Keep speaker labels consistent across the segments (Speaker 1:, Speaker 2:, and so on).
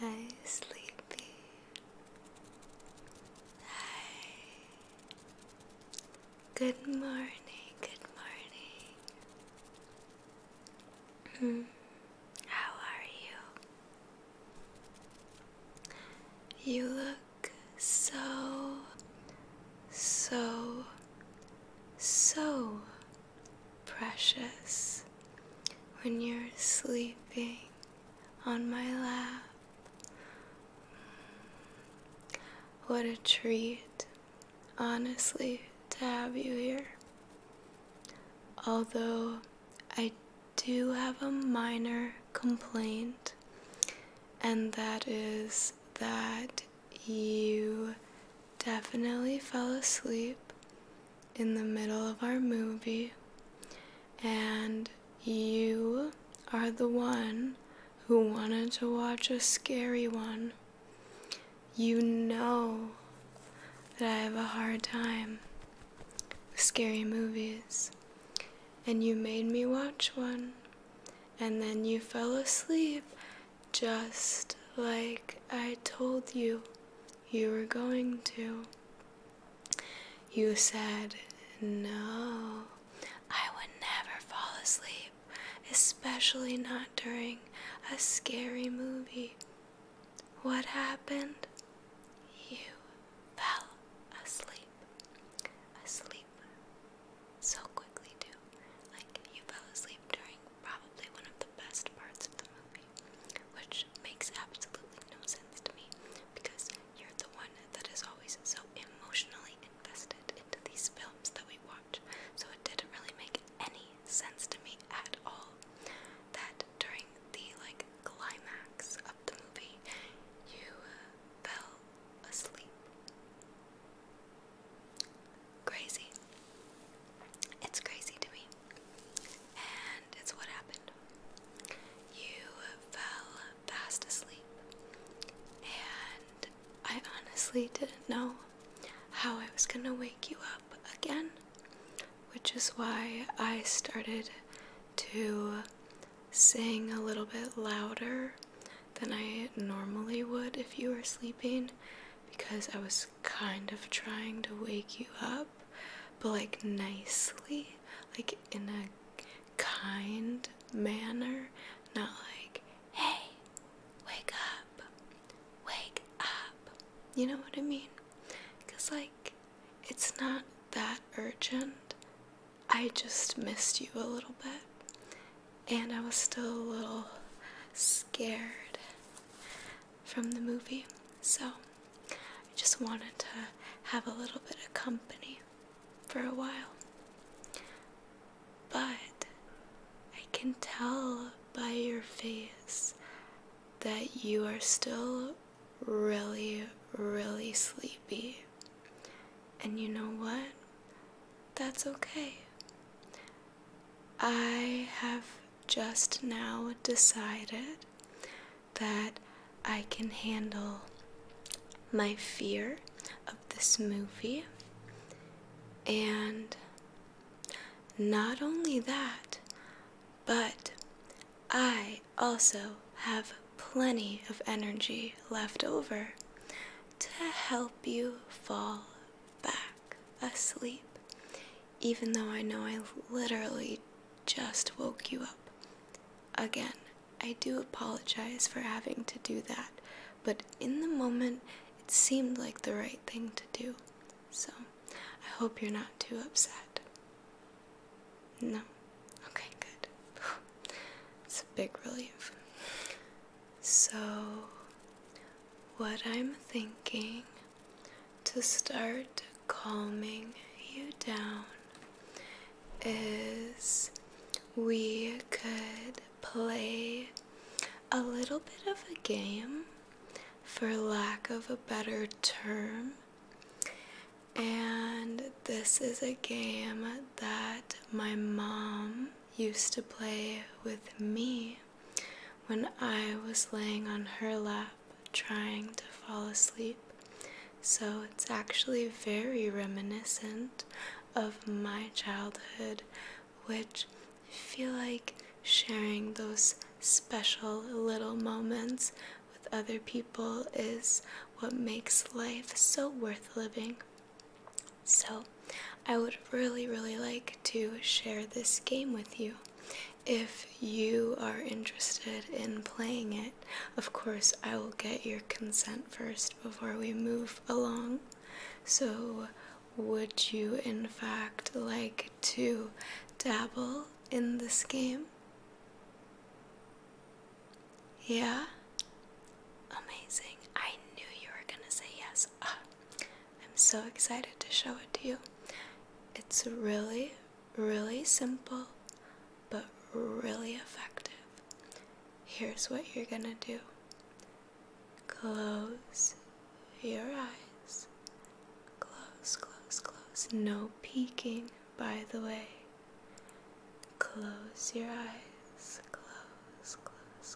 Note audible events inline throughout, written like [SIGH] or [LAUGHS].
Speaker 1: Hi, sleepy.
Speaker 2: Hi. Good morning, good morning. Hmm, how are you? You look so, so, so precious when you're sleeping on my lap. What a treat, honestly, to have you here. Although I do have a minor complaint, and that is that you definitely fell asleep in the middle of our movie, and you are the one who wanted to watch a scary one. You know that I have a hard time with scary movies, and you made me watch one, and then you fell asleep just like I told you you were going to. You said, No, I would never fall asleep, especially not during a scary movie. What happened? You fell asleep. Asleep. So quickly, too. Like, you fell asleep during probably one of the best parts of the movie, which makes absolutely no sense to me because you're the one that is always so emotionally invested into these films that we watch. So it didn't really make any sense to me at all that during the like climax of the movie you uh, fell asleep. Crazy. It's crazy to me and it's what happened. You fell fast asleep, and I honestly didn't know how I was gonna wake you up again, which is why I started to sing a little bit louder than I normally would if you were sleeping because I was kind of trying to wake you up up, but like nicely, like in a kind manner, not like, hey, wake up, wake up. You know what I mean? Because, like, it's not that urgent. I just missed you a little bit, and I was still a little scared from the movie, so I just wanted to have a little bit of company for a while. But I can tell by your face that you are still really, really sleepy. And you know what? That's okay. I have just now decided that I can handle my fear of this movie. And not only that, but I also have plenty of energy left over to help you fall back asleep even though I know I literally just woke you up. Again, I do apologize for having to do that, but in the moment, it seemed like the right thing to do. So, I hope you're not too upset. No? Okay, good. [SIGHS] It's a big relief. So, what I'm thinking to start calming you down is we could play a little bit of a game, for lack of a better term. And this is a game that my mom used to play with me when I was laying on her lap trying to fall asleep. So it's actually very reminiscent of my childhood, which I feel like sharing those special little moments with other people is what makes life so worth living. So, I would really, really like to share this game with you. If you are interested in playing it, of course, I will get your consent first before we move along. So, would you in fact like to dabble in this game? Yeah? Amazing. I knew you were gonna say yes. Ah. I'm so excited to show it to you. It's really, really simple, but really effective. Here's what you're gonna do close your eyes. Close, close, close. No peeking, by the way. Close your eyes. Close, close,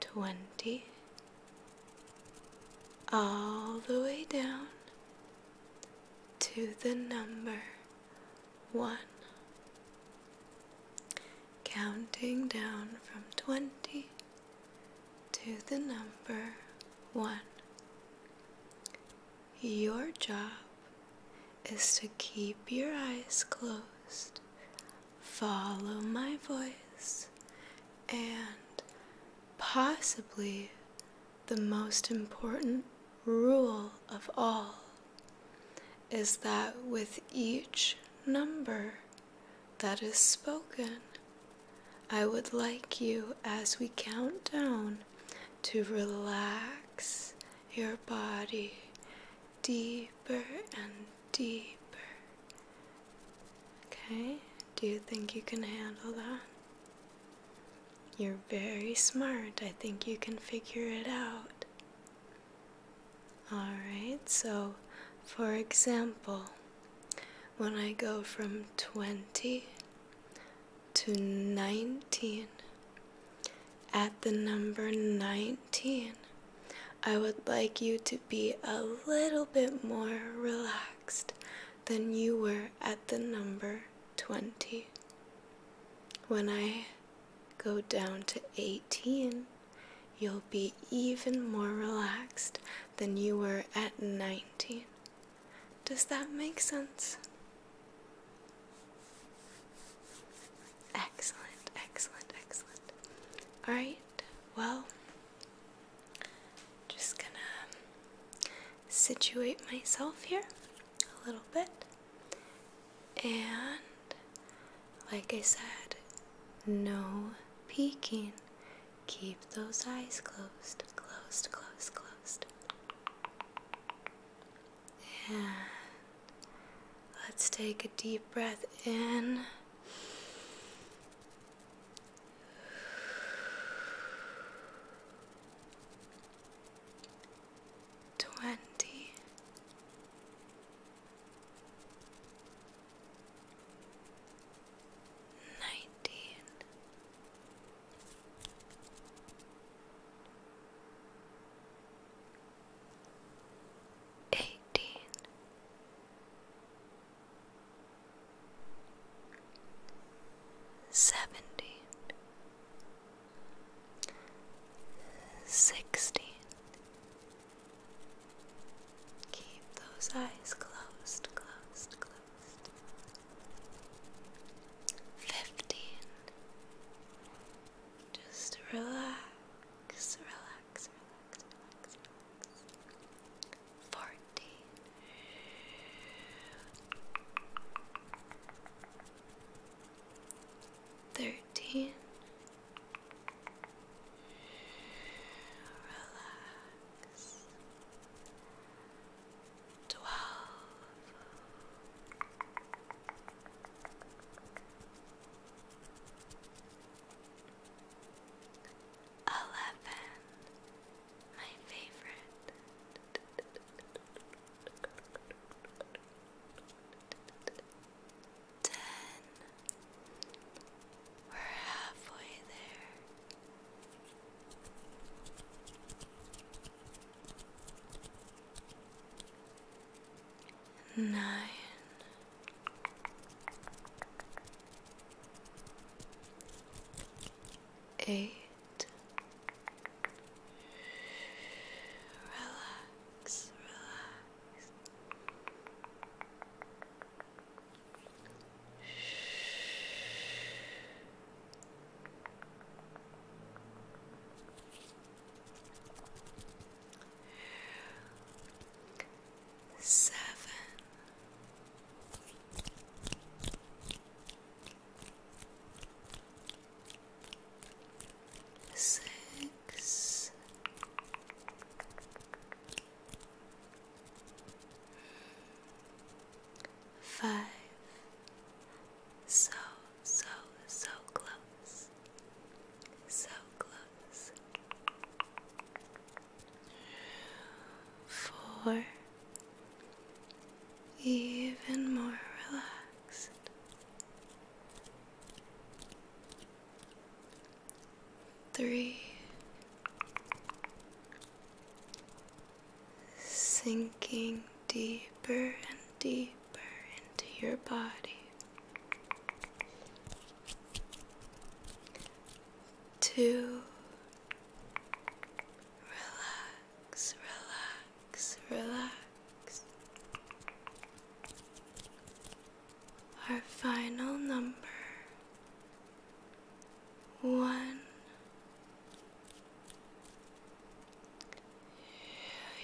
Speaker 2: 20 all the way down to the number 1 counting down from 20 to the number 1 your job is to keep your eyes closed follow my voice, and possibly the most important rule of all is that with each number that is spoken, I would like you as we count down to relax your body deeper and deeper. Okay, do you think you can handle that? You're very smart. I think you can figure it out. Alright, so for example, when I go from 20 to 19, at the number 19, I would like you to be a little bit more relaxed than you were at the number 20. When I go down to 18, you'll be even more relaxed than you were at 19. Does that make sense? Excellent, excellent, excellent. All right, well, just gonna situate myself here a little bit. And like I said, no peeking. Keep those eyes closed, closed, closed, closed. And let's take a deep breath in. Twenty nineteen eighteen, seventeen, sixteen. Keep those eyes closed, closed, closed. Fifteen. Just relax, relax, relax relax. Forty. Thirteen. Relax. Twelve. Eleven, my favorite. Ten, we're halfway there nine. Eight. Relax, relax
Speaker 1: seven. so,
Speaker 2: so, so close, so close. Four, even more relaxed. Three, sinking deeper and deeper into your body. Two. Relax, relax, relax. Our final number one.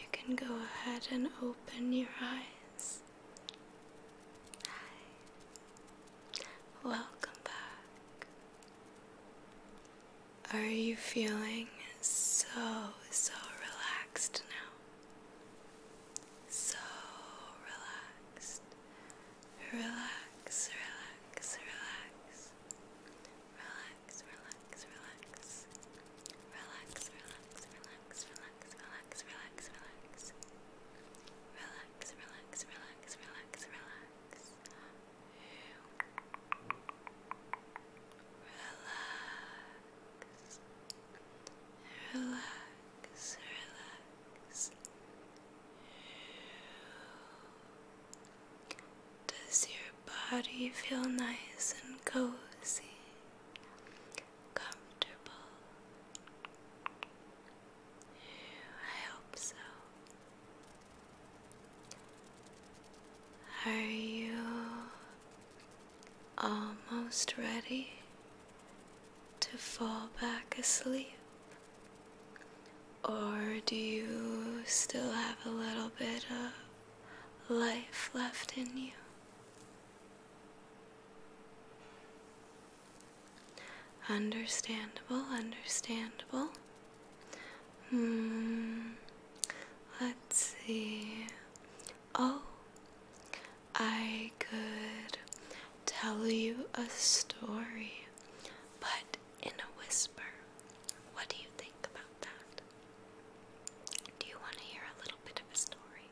Speaker 2: You can go ahead and open your eyes. Hi. Welcome back. Are you feeling so, so relaxed now? So relaxed. Relax, relax, relax. Relax, relax, relax relax, relax, relax, relax, relax, relax, relax. Relax, relax, relax, relax, relax.
Speaker 1: Relax. Relax, relax.
Speaker 2: Does your body feel nice and cozy? comfortable? I hope so. Are you almost ready to fall back asleep? Or do you still have a little bit of life left in you? Understandable, understandable. Hmm, let's see. Oh, I could tell you a story, but in a whisper. What do you think about that? Do you want to hear a little bit of a story?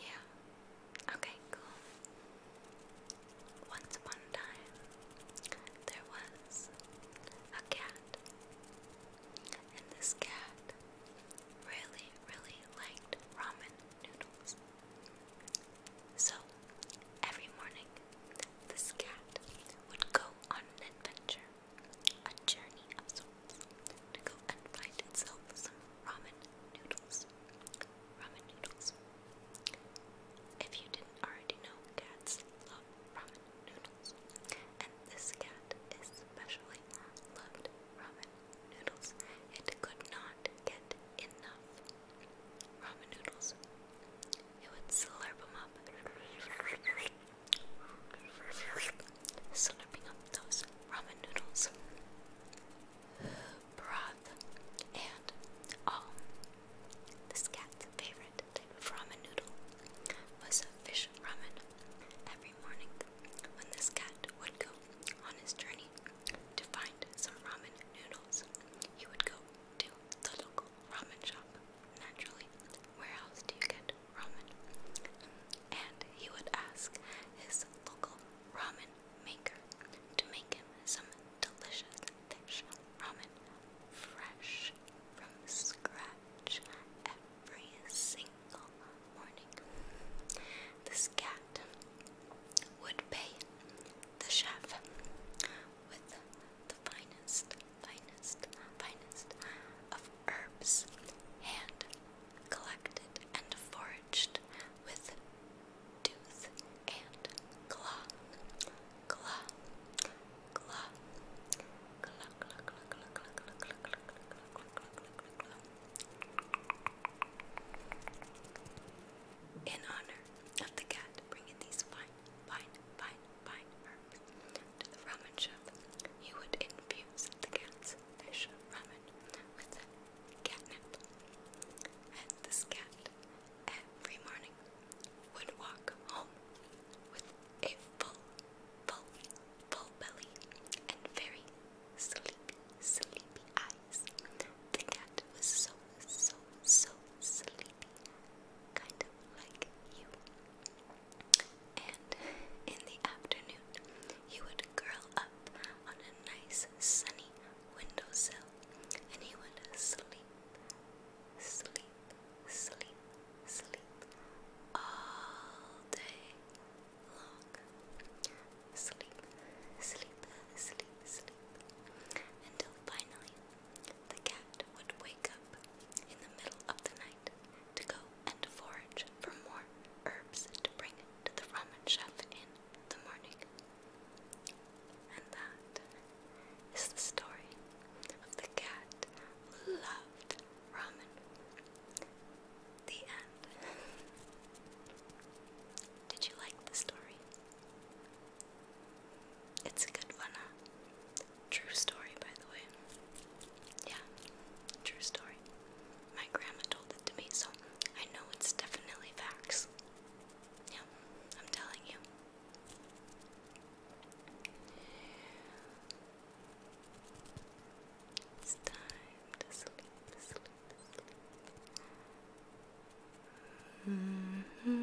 Speaker 1: Yeah. Okay, cool. Once
Speaker 2: upon time, there was a cat. And this cat really, really liked ramen noodles. So, every morning, this cat would go on an adventure a journey of sorts to go and find itself some ramen noodles. Ramen noodles. If you didn't already know, cats love ramen noodles. And this cat especially loved ramen noodles. It could not get enough ramen noodles. It would slurp them up slurping up those ramen noodles, broth, and oh, this cat's favorite type of ramen noodle was fish ramen. Every morning, when this cat would go on his journey to find some ramen noodles, he would go to the local ramen shop naturally, where else do you get ramen? And he would ask his local ramen maker to make him some delicious fish ramen, fresh from scratch, every single morning. This cat would pay the chef with the finest finest, finest of herbs, hand collected and foraged with tooth and claw, claw, claw, claw, claw, claw, claw, claw, claw, claw, claw, claw, claw, claw. In honor of the cat bringing these fine, fine, fine, fine herbs. To the ramen shop, he would infuse the cat's fish ramen with catnip. And this cat, every morning, would walk home with a full, full, full belly and very sleepy,
Speaker 1: sleepy eyes. The cat was so, so, so sleepy kind of like you. And in
Speaker 2: the afternoon, he would curl up on a nice sunny
Speaker 1: windowsill and he would sleep, sleep, sleep, sleep all day long. Sleep, sleep, sleep, sleep until finally the cat would wake up in the middle of the night to go and forage
Speaker 2: for more herbs to bring to the ramen chef in the morning. And that is the story of the cat who loved ramen. The end. [LAUGHS] Did you like the story? It's a good one, huh? True story, by the way. Yeah, true story. My grandma told it to me, so I know it's definitely facts. Yeah, I'm telling you.
Speaker 1: It's time to sleep, sleep, sleep. Mm -hmm.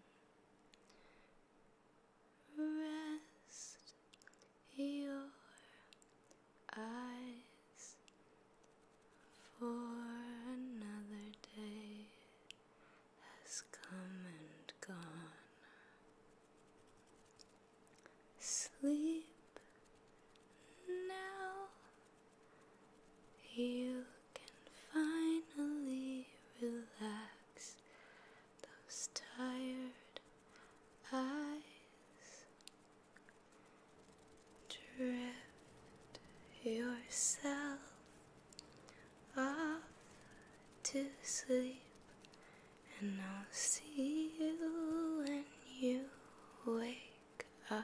Speaker 1: Rest your
Speaker 2: eyes for another day has come and gone. Sleep now you can finally relax those tired eyes. Drift yourself off to sleep, and I'll see you when you wake up.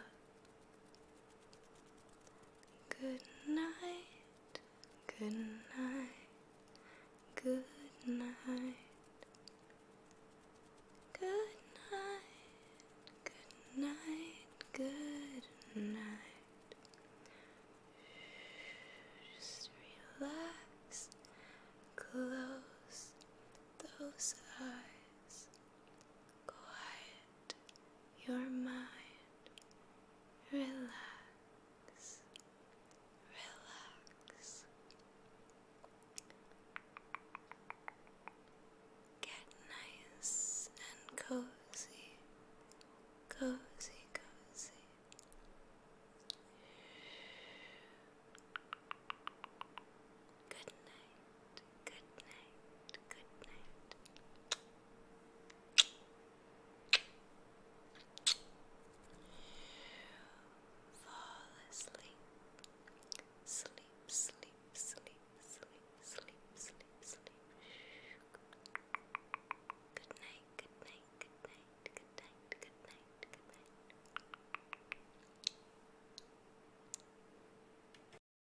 Speaker 1: Good night,
Speaker 2: good night,
Speaker 1: good night, good night, good night, good night. Just relax,
Speaker 2: close those eyes, quiet your mind relax, relax. Get nice and cozy, cozy, cozy. Good night good night, good night.
Speaker 1: Fall asleep, sleep, sleep, sleep, sleep, sleep, sleep, sleep. Good night, good night, good night, good night, good night, good night.